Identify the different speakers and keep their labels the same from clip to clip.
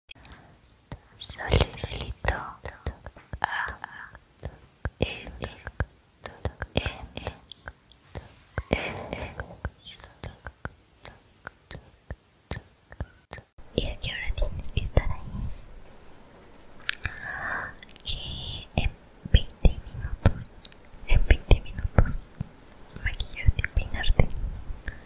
Speaker 1: a e, e, e, y a que hora tienes que estar ahí que en 20 minutos en 20 minutos maquillarte y peinarte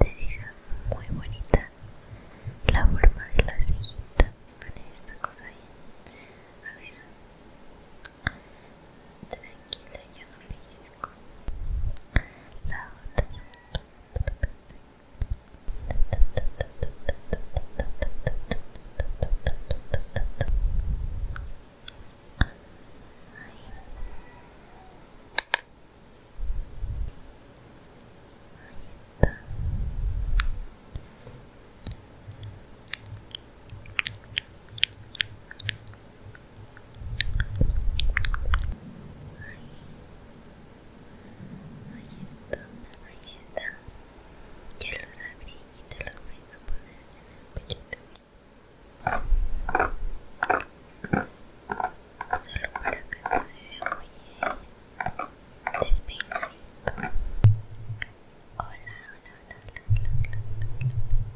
Speaker 1: Te deja muy bonita la forma de la cejita. con esta cosa ahí. A ver. Tranquila, yo no me pisco. La otra. Ahí. Ahí está. Ahí. está. Ahí está. Ya los abrí y te los voy a poner en el pechito. Solo para que no se vea muy Hola, hola, hola,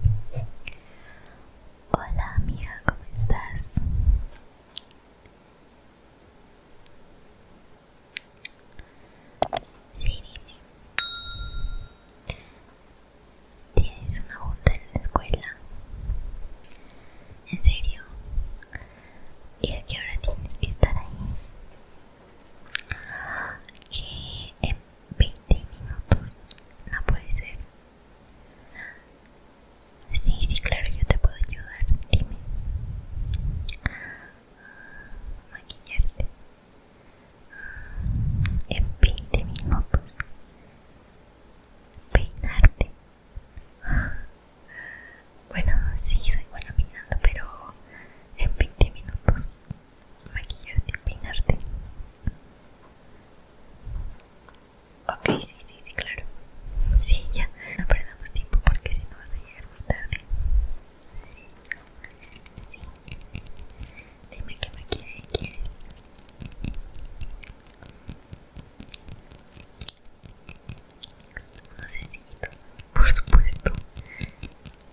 Speaker 1: hola, hola. Hola amiga, ¿cómo estás? Sí, dime. Tienes una junta en la escuela. ¿En serio? ¿Y a qué hora tienes que estar ahí?
Speaker 2: en 20 minutos no puede ser. Sí, sí, claro, yo te puedo ayudar. Dime. Ah, maquillarte en 20 minutos peinarte bueno sí soy buena peinando pero en 20 minutos maquillarte y peinarte ok sí sí sí claro sí ya no perdamos tiempo porque si no vas a llegar muy tarde sí Dime qué maquillaje quieres. Uno sencillito, por supuesto.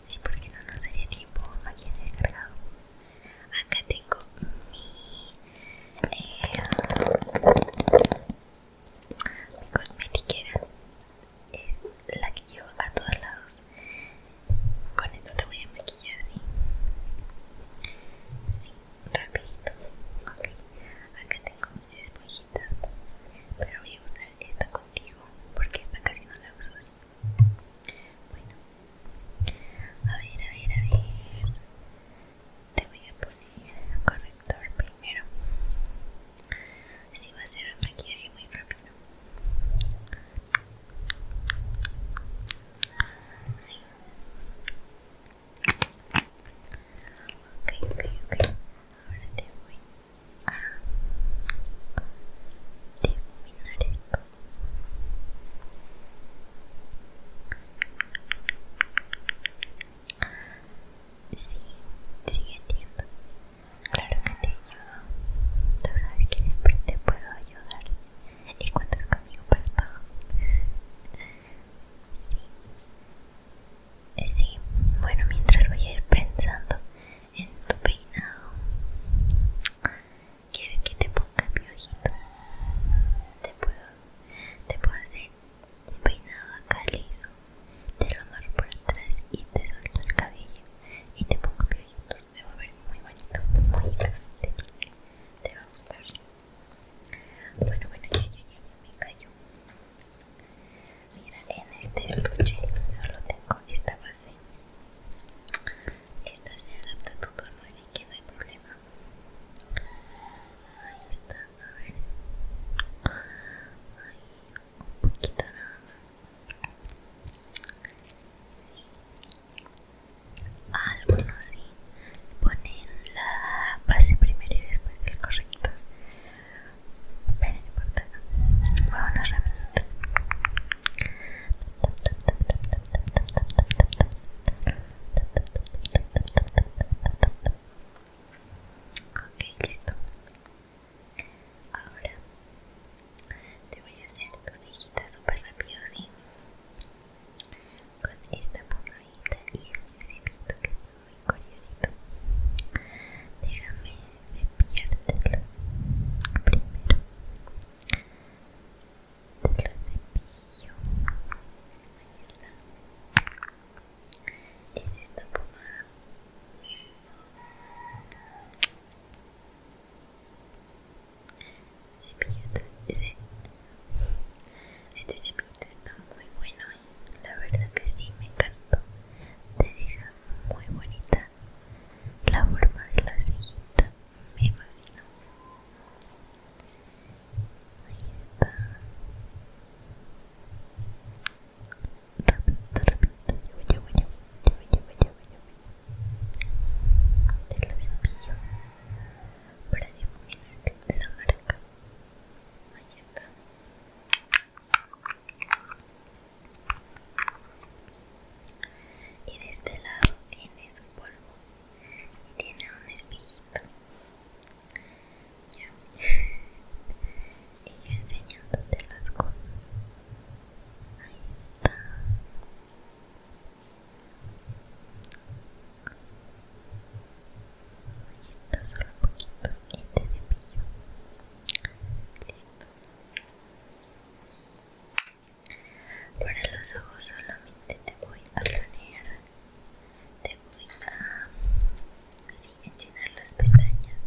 Speaker 2: Sí, porque no nos daría tiempo quien maquillaje cargado. Acá tengo mi, eh, mi cosmetiquera. Es la que llevo a todos lados. Con esto te voy a maquillar así. Sí, rapidito. Ok, acá tengo mis esponjitas. Pero voy a usar esta contigo porque esta casi no la uso Bueno, a ver, a ver, a ver. Te voy a poner corrector primero. Sí, va a ser un maquillaje muy rápido. Ok, ok, Ahora a esto. Sí, sigue, entiendo. Claro que te ayudo. Tú sabes que siempre te puedo ayudar. Y cuentas conmigo para todo. Sí. Sí. Bueno, mientras voy a ir pensando en tu peinado. ¿Quieres que te ponga mi Te puedo, te puedo hacer un peinado acá liso. Te lo doy por atrás y te suelto el cabello. Y te pongo ojito me va a ver muy bonito, muy estético. Te va a gustar. Bueno, bueno, ya, ya, ya, ya me cayó.
Speaker 3: Mira, en este estuche solo tengo esta base. Esta se adapta a tu así que no hay problema. Ahí está, a ver. Ahí, un poquito nada más. Sí. Algunos sí ponen la base primero y después el correcto Pero no importa. Vámonos rapidito. Ok, listo. Ahora te voy a hacer tus cejitas súper rápido, ¿sí? Con esta pomadita y el cepito que es muy curiosito. Déjame cepillártelo primero. Te lo cepillo. Ahí está. Es esta pomada. Este cepillo está muy bueno, ¿eh? la verdad que sí, me encantó. Te deja muy bonita la forma de la cejita, me fascina. Ahí está. Repito, repito. para la marca. Ahí está. Y de este lado tiene un polvo y tiene un espejito y enseñándote las cosas ahí está ahí está solo un poquito y te cepillo listo para los ojos solamente te voy a planear te voy a en llenar las pestañas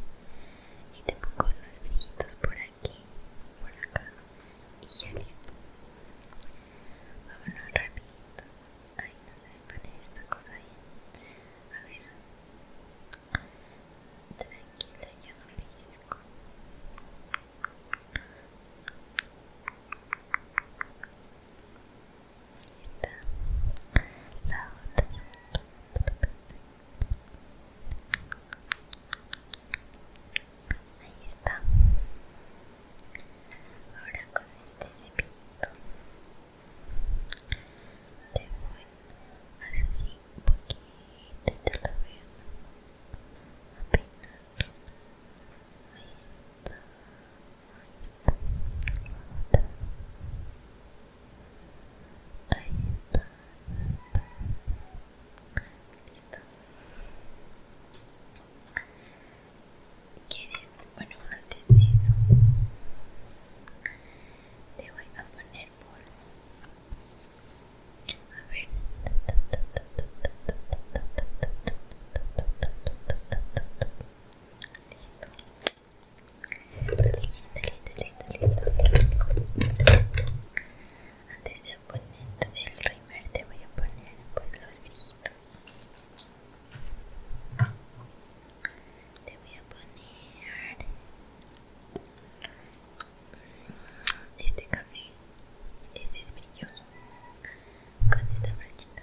Speaker 3: y tengo los unos brillitos por aquí, por acá y ya listo. Vámonos rapidito. Ay, no se me pone esta cosa ahí A ver. Tranquila, yo no pisco ahí está la otra ahí está ahora con este cepillito te voy a hacer así un poquito y te lo voy a peinar ahí está Ahí está, está. Listo. ¿Quieres? Bueno, antes de eso, te voy a poner polvo. A ver. Listo. Listo, listo, listo, listo. Antes de poner el primer te voy a poner pues, los brillitos. Te voy a poner este café. Este es brilloso. Con esta brochita.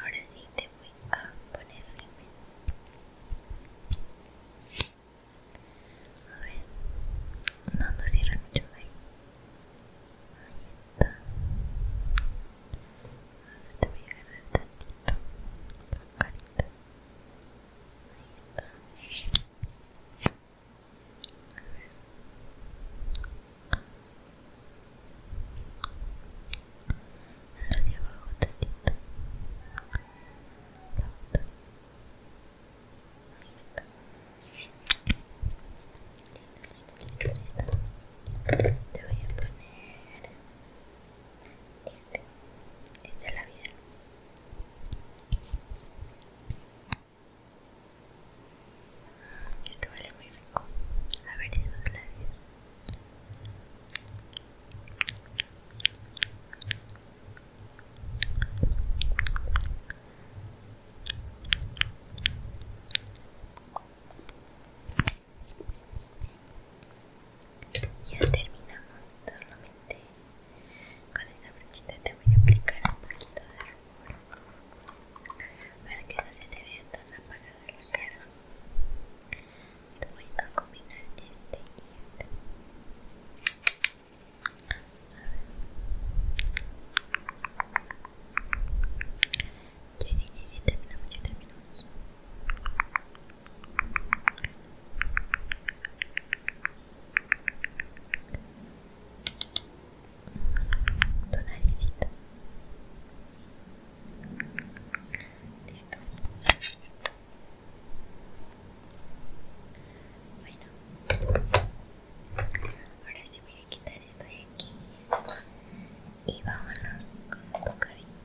Speaker 3: Ahora sí te voy a poner alimento. A ver, no, no cierres mucho ahí. Ahí
Speaker 2: está. Ahora te voy a agarrar tantito. La carita. Ahí está. A ver te voy a poner este este labial esto vale muy rico a ver esos labios ya terminamos solamente con esa brochita te voy a aplicar un poquito de rumor para que no se te vea tan apagada la cara te voy a combinar este y este ya, ya terminamos tu naricita listo bueno ahora sí voy a quitar esto de aquí y vámonos con tu cabello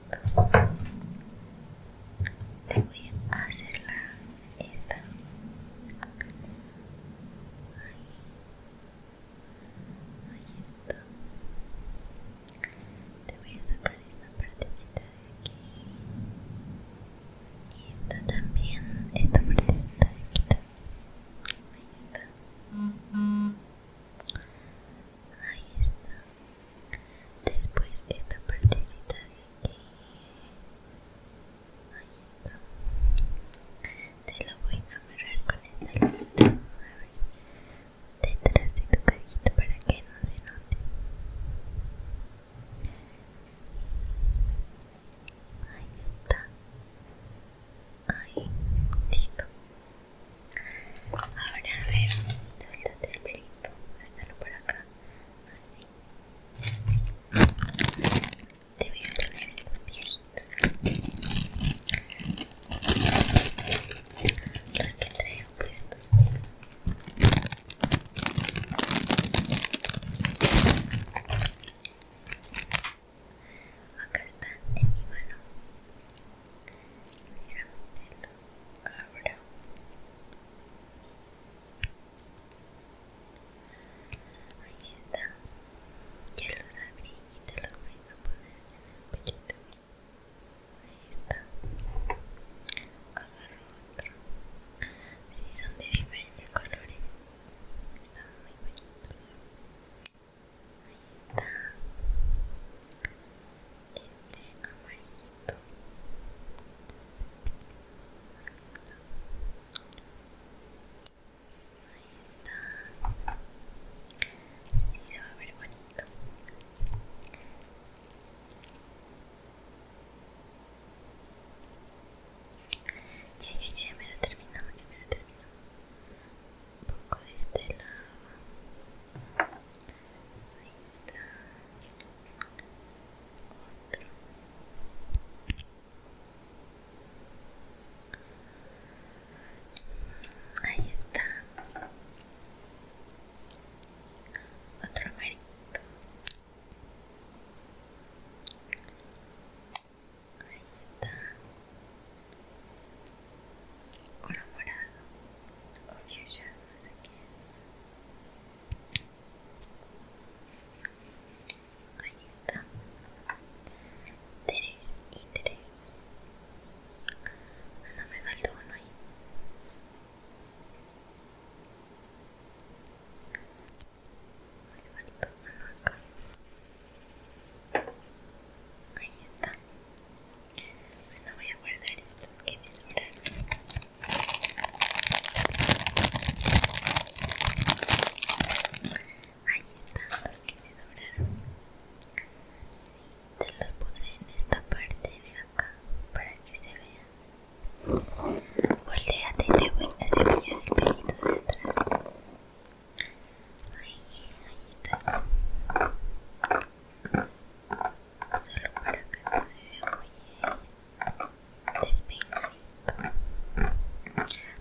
Speaker 2: te voy a hacer la esta ahí está te voy a sacar esta partecita de aquí y esta también esta partecita de aquí ahí está ahí está después esta partecita de aquí te lo voy a amarrar con esta ver, detrás de tu cajita para que no se note. Ahí está. Ahí, listo. Ahora a ver, suéltate el pelito, por acá. Así debería tener estos viejitos los que traigo puestos acá están en mi mano mira, te lo abro Ahí está. Ya los abrí y te los voy a poner en el pollito. Ahí está. Agarro
Speaker 3: otro. Sí, son de diferentes colores. Están muy bonitos. Ahí está. Este amarillito. Ahí está ahí está. Sí, se va a ver bonito. Ya, ya, ya, me lo termino, ya me lo termino, Un poco de este lado. Ahí está. Otro. Ahí está. Otro amarillo. Ahí está. Uno morado. O fuchsia, no sé qué es ahí está tres y tres no me faltó uno ahí me faltó uno acá ahí está bueno voy a guardar estos que me
Speaker 4: duraron Ahí están los que me sobraron. Sí, te los puse en esta parte de acá para que se vean. Volteate y te voy a enseñar el pelito de atrás. Ahí, ahí está. Solo para que no se vea muy bien bonito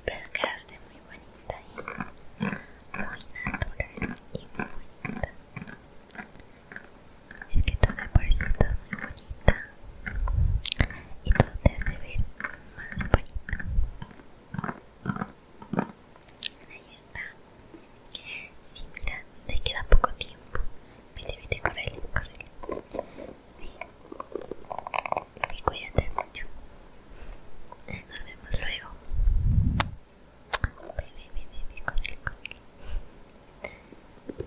Speaker 4: pero quedaste muy bonita y muy natural y muy bonita es que tú de muy bonita y todo te hace ver más bonita ahí está si mira, te queda poco tiempo. Vete, vete, Sí. Y cuídate mucho. Nos vemos luego. Baby, baby, baby, con el cookie. Bye.